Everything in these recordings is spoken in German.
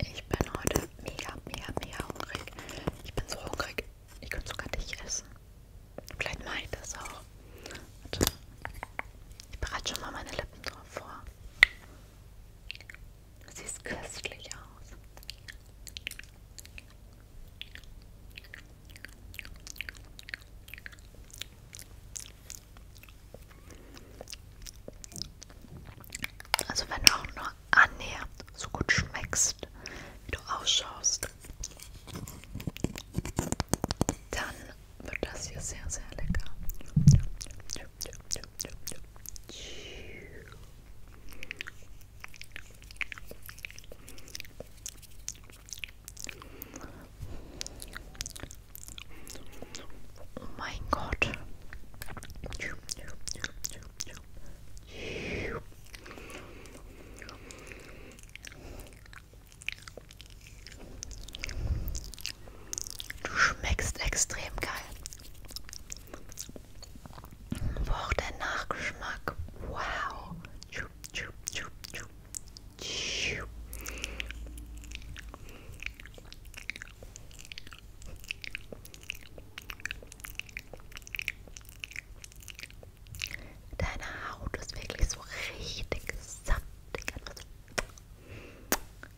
Ich bin heute mega, mega, mega hungrig. Ich bin so hungrig, ich könnte sogar dich essen. Vielleicht mache ich das auch. Warte. Ich bereite schon mal meine Lippen drauf vor. Sieht köstlich aus. Also wenn du auch nur annähernd so gut schmeckst, wie du ausschaust, dann wird das hier sehr, sehr lecker. Oh mein Gott. Du schmeckst extrem geil. Boah, der Nachgeschmack. Wow. Deine Haut ist wirklich so richtig saftig. Etwas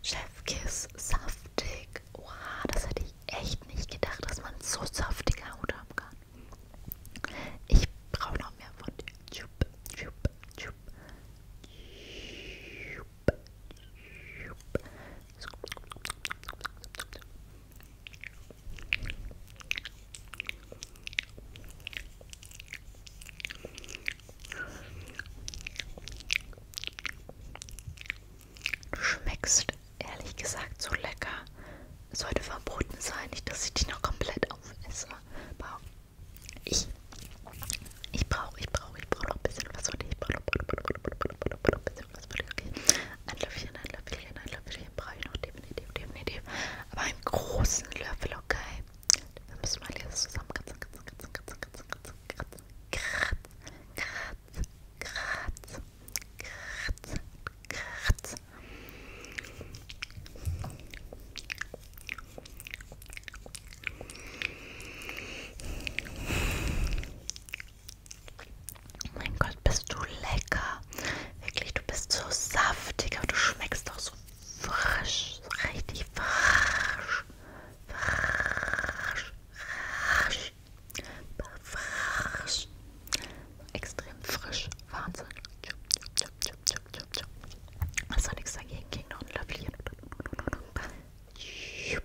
Chefkiss, saftig. Oha, das hätte ich echt nicht gedacht, dass man so saftige Haut haben kann. Ich brauche noch mehr von dir. Du schmeckst ehrlich gesagt so lecker. Es sollte verboten sein, nicht, dass ich dich noch komplett aufesse. Ich, ich brauche, ich brauche brauche, ich brauche noch ein bisschen was von dir, ich brauche noch ein bisschen was von dir, okay? Ein Löffelchen, ein Löffelchen, ein Löffelchen brauche ich noch definitiv, definitiv, aber einen großen Löffel, okay? Wir müssen mal hier zusammen kratzen, kratzen, kratzen, kratzen, kratzen, kratzen, kratzen, kratzen, kratzen, kratzen, kratzen, kratzen. Oh mein Gott, bist du lecker. Wirklich, du bist so saftig, aber du schmeckst auch so frisch. So richtig frisch. Frisch. Frisch. Frisch. Extrem frisch. Wahnsinn. Hast du nichts dagegen? Ging noch ein Löffelchen.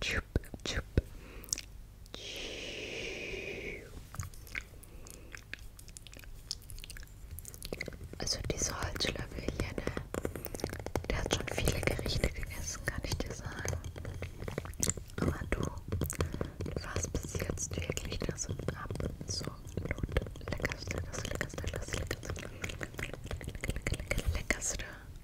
Chup, chup, chup. Also diese Holzschlöffel hier, ne? Der hat schon viele Gerichte gegessen, kann ich dir sagen. Aber du, du warst bis jetzt wirklich das absolut leckerste, das leckerste, das leckerste, leckerste, leckerste, leckerste, leckerste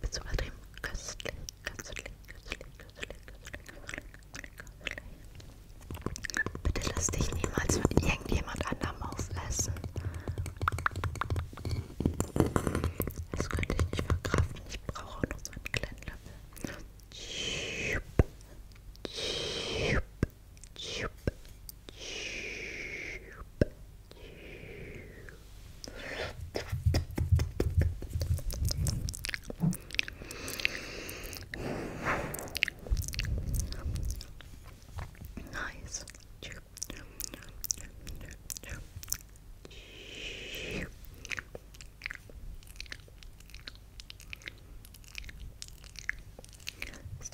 Bist du übertrieben? Köstlich, köstlich, köstlich, köstlich, köstlich, köstlich. Bitte lass dich niemals von irgendjemand anderem aufessen. Das könnte ich nicht verkraften. Ich brauche nur so einen kleinen Löffel. Schup, schup, schup, schup, schup, Nice. Wisst ihr,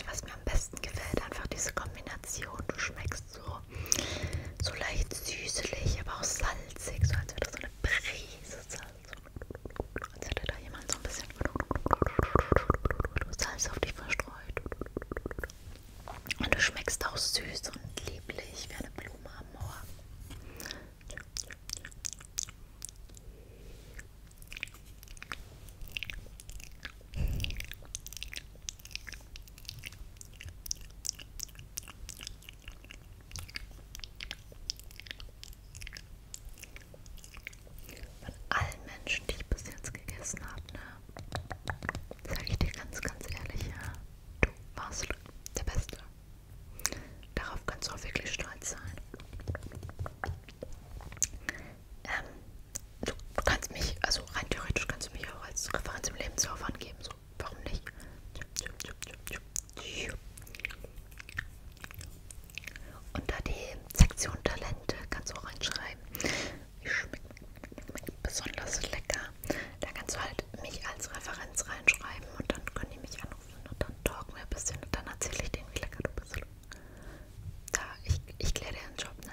was mir am besten gefällt? Einfach diese Kombination. Du schmeckst fast so, so leicht süßlich, aber auch salzig, so als wäre das so eine Prise Salz. Als hätte da jemand so ein bisschen Salz auf dich verstreut. Und du schmeckst auch süß und lieblich wie eine Blume am Moor. Von allen Menschen, die ich bis jetzt gegessen habe, ne, sage ich dir ganz, ganz ehrlich, ja, du warst der Beste. Darauf kannst du auch wirklich stolz sein. Ähm, du, du kannst mich, also rein theoretisch kannst du mich auch als Referenz im Lebenslauf angeben, so, warum nicht? Unter die Sektion Talente kannst du auch reinschreiben. Ich schmeckt besonders lecker. Da kannst du halt mich als Referenz reinschreiben und dann können die mich anrufen und dann talken wir ein bisschen und dann erzähle ich denen, wie lecker du bist. Da, ich, ich kläre dir einen Job, ne?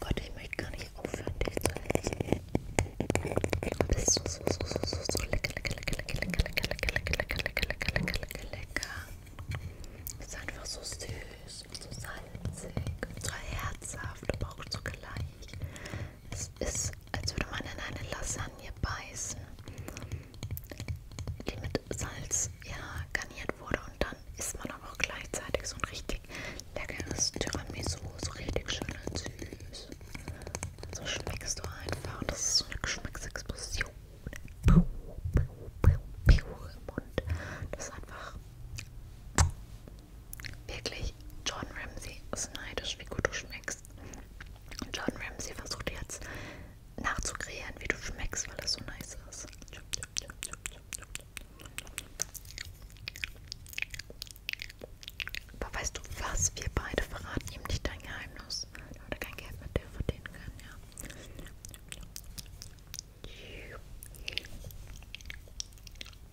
Gott, ich möchte gar nicht aufhören, dich zu lächeln. Das ist so, so, so, so, so, so lecker, lecker, lecker, lecker, lecker, lecker, lecker, lecker, lecker, lecker, lecker, lecker, lecker. Das ist einfach so süß und so salzig und so herzhaft, aber auch zugleich. Es ist als würde man in eine Lasagne beißen, die mit Salz ja, garniert wurde. Und dann isst man aber auch gleichzeitig so ein richtig leckeres Tiramisu, so richtig schön und süß. So schmeckst du einfach. Das ist so eine Geschmacksexplosion. Piu, piu, piu, piu im Mund. Das ist einfach Wirklich, John Ramsay ist neidisch, wie gut du schmeckst. Und John Ramsay versucht jetzt nachzukreieren, wie du schmeckst, weil das so nice ist. Aber weißt du was? Wir beide verraten ihm nicht dein Geheimnis. Da würde kein Geld mit dir verdienen können, ja.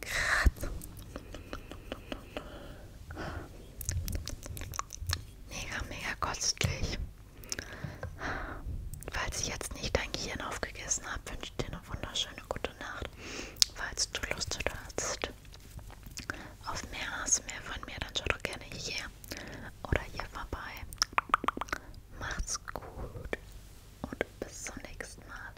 Grad. Mega, mega kostlich. Falls ich jetzt nicht dein Gehirn aufgegessen habe, wünsche ich dir eine wunderschöne gute Nacht. Falls du Lust hast auf mehr hast, mehr von mir, dann schau doch gerne hier oder hier vorbei. Macht's gut und bis zum nächsten Mal.